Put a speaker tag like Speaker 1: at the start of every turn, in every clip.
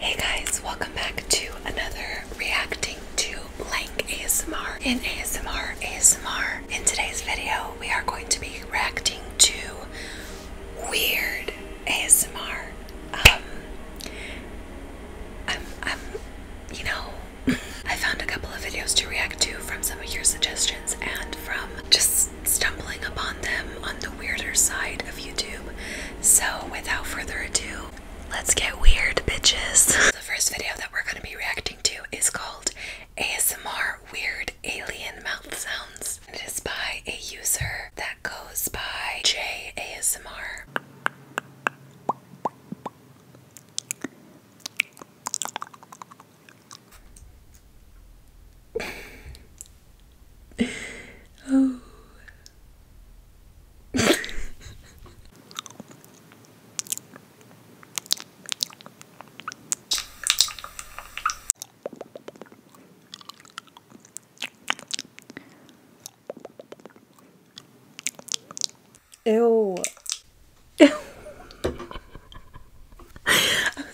Speaker 1: Hey guys, welcome back to another reacting to blank ASMR in ASMR ASMR. In today's video, we are going to be reacting to weird ASMR. Um I'm I'm you know, I found a couple of videos to react to from some of your suggestions and from just stumbling upon them on the weirder side of YouTube. So, without further ado, let's get weird, bitches. The first video that we're going to be reacting to is called ASMR Weird Alien Mouth Sounds. It is by a user that goes by JASMR oh. Ew. I'm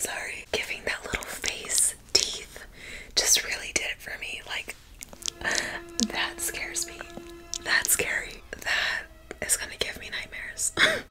Speaker 1: sorry. Giving that little face teeth just really did it for me. Like, that scares me. That's scary. That is gonna give me nightmares.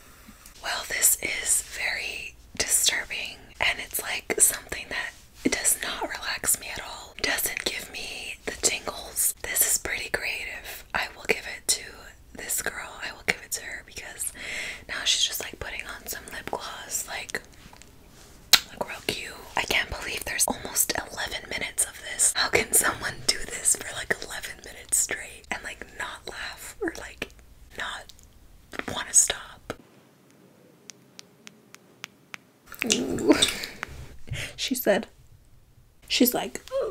Speaker 1: Well, this is very disturbing, and it's like something that it does not relax me at all. Doesn't give me the tingles. This is pretty creative. I will give it to this girl. I will give it to her because now she's just like putting on some lip gloss, like like real cute. I can't believe there's almost 11 minutes of this. How can someone do this for like 11 minutes straight and like not laugh or like not want to stop. she said, she's like,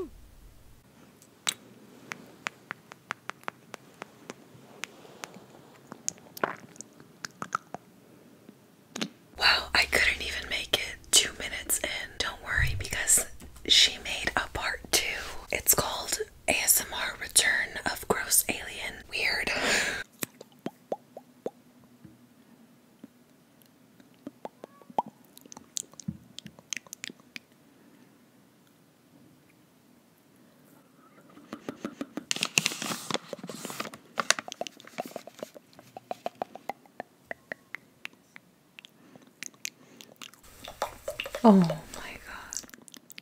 Speaker 1: Wow, I couldn't even make it two minutes in. Don't worry because she made a part two. It's called ASMR Return of Gross Alien. Weird. Oh, oh my god.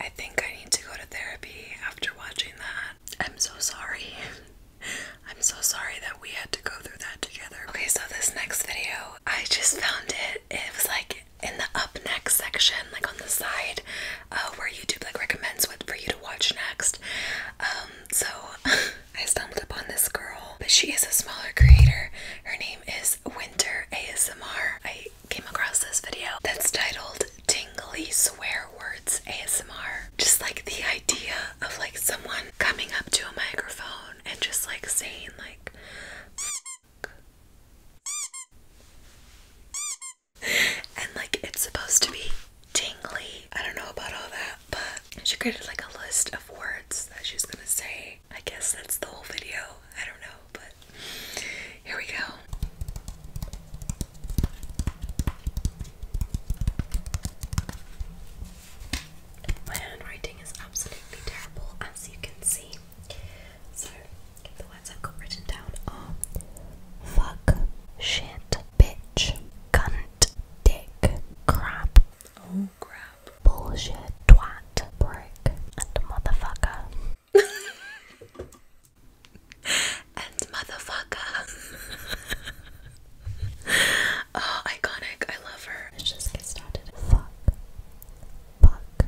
Speaker 1: I think I need to go to therapy after watching that. I'm so sorry. I'm so sorry that we had to go through that together. Okay, so this next video, I just found it. It was like in the up next section, like on the side, uh, where YouTube like recommends what for you to watch next. Um, so I stumbled upon this girl, but she is a smaller creator. Her name is Winter ASMR came across this video that's titled Tingly Swear Words ASMR. Just like the idea of like someone coming up to a microphone and just like saying like and like it's supposed to be tingly. I don't know about all that, but she created like a list of words that she's gonna say I guess that's the whole video. I don't know, but here we go. My handwriting is absolutely terrible, as you can see. So, the words I've got written down are fuck, shit, bitch, cunt, dick, crap. Oh. Bullshit, twat, brick, and motherfucker. and motherfucker. oh, iconic. I love her. Let's just get started. Fuck. Fuck.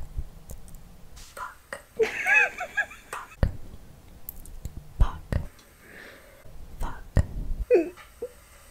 Speaker 1: Fuck. Fuck. Fuck. Fuck.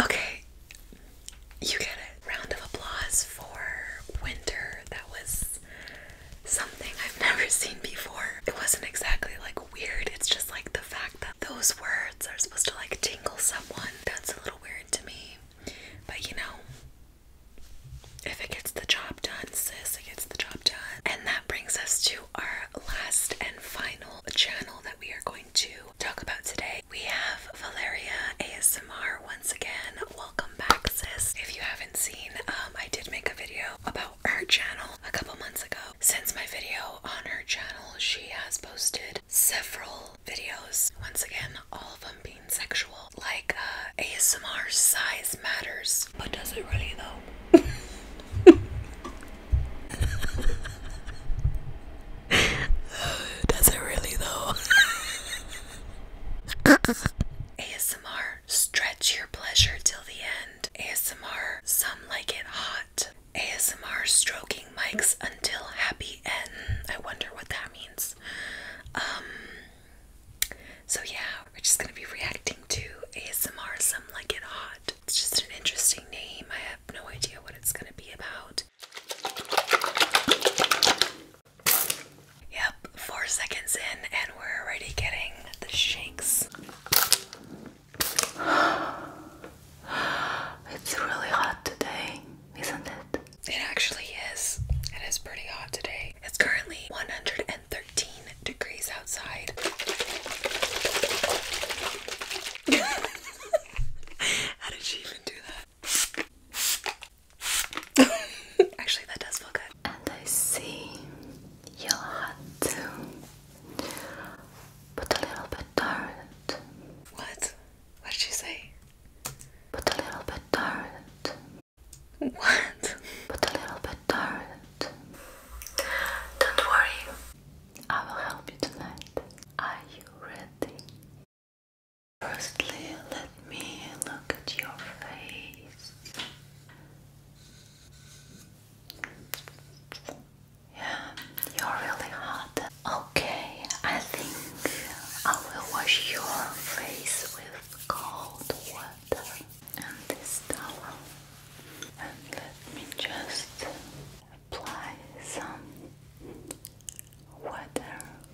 Speaker 1: Okay, you get it. Round of applause for winter. That was something I've never seen before. It wasn't exactly like weird, it's just like the fact that those words are supposed to like tingle someone. That's a little weird to me. But you know, if it gets the job done, sis, it gets the job done. And that brings us to our last and final channel that we are going to talk about today. We have Valeria ASMR once again. Welcome back, sis. If you haven't seen, um, I did make a video about her channel a couple months ago. Since my video on her channel, she has posted several videos. Once again, all of them being sexual. Like uh, ASMR size matters. But does it really though? Does it really though? ASMR, stretch your pleasure till the end. ASMR, some like it hot. ASMR, stroking mics until happy end. I wonder what that means. Um, so yeah, we're just gonna be reacting to ASMR, some like it hot. It's just an interesting name. I have no idea what it's going to be about. Yep, four seconds in, and we're already getting the shakes. It's really hot today, isn't it? It actually is. It is pretty hot today. It's currently 113 degrees outside. How did she even do that? Actually, that does feel good. And I see you'll have to put a little bit dirt. What? What did she say? Put a little bit dirt. What? Put a little bit dirt. Don't worry, I will help you tonight. Are you ready? Firstly, let me look at your face. Yeah, you're really hot. Okay, I think I will wash your face with cold water and this towel and let me just apply some water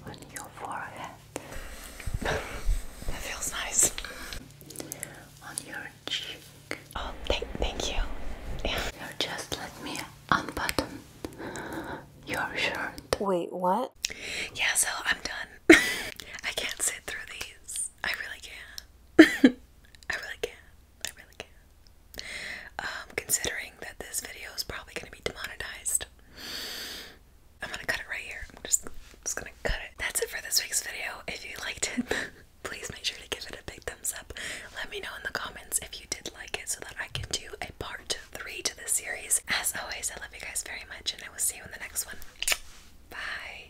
Speaker 1: on your forehead that feels nice on your cheek oh thank, thank you yeah. you just let me unbutton your shirt wait what yeah so I'm done I can't sit through these I really can't I really can I really can um, considering that this video is probably gonna be demonetized. I'm gonna cut it right here. I'm just, just gonna cut it. That's it for this week's video. If you liked it, please make sure to give it a big thumbs up. Let me know in the comments if you did like it so that I can do a part three to this series. As always, I love you guys very much and I will see you in the next one. Bye.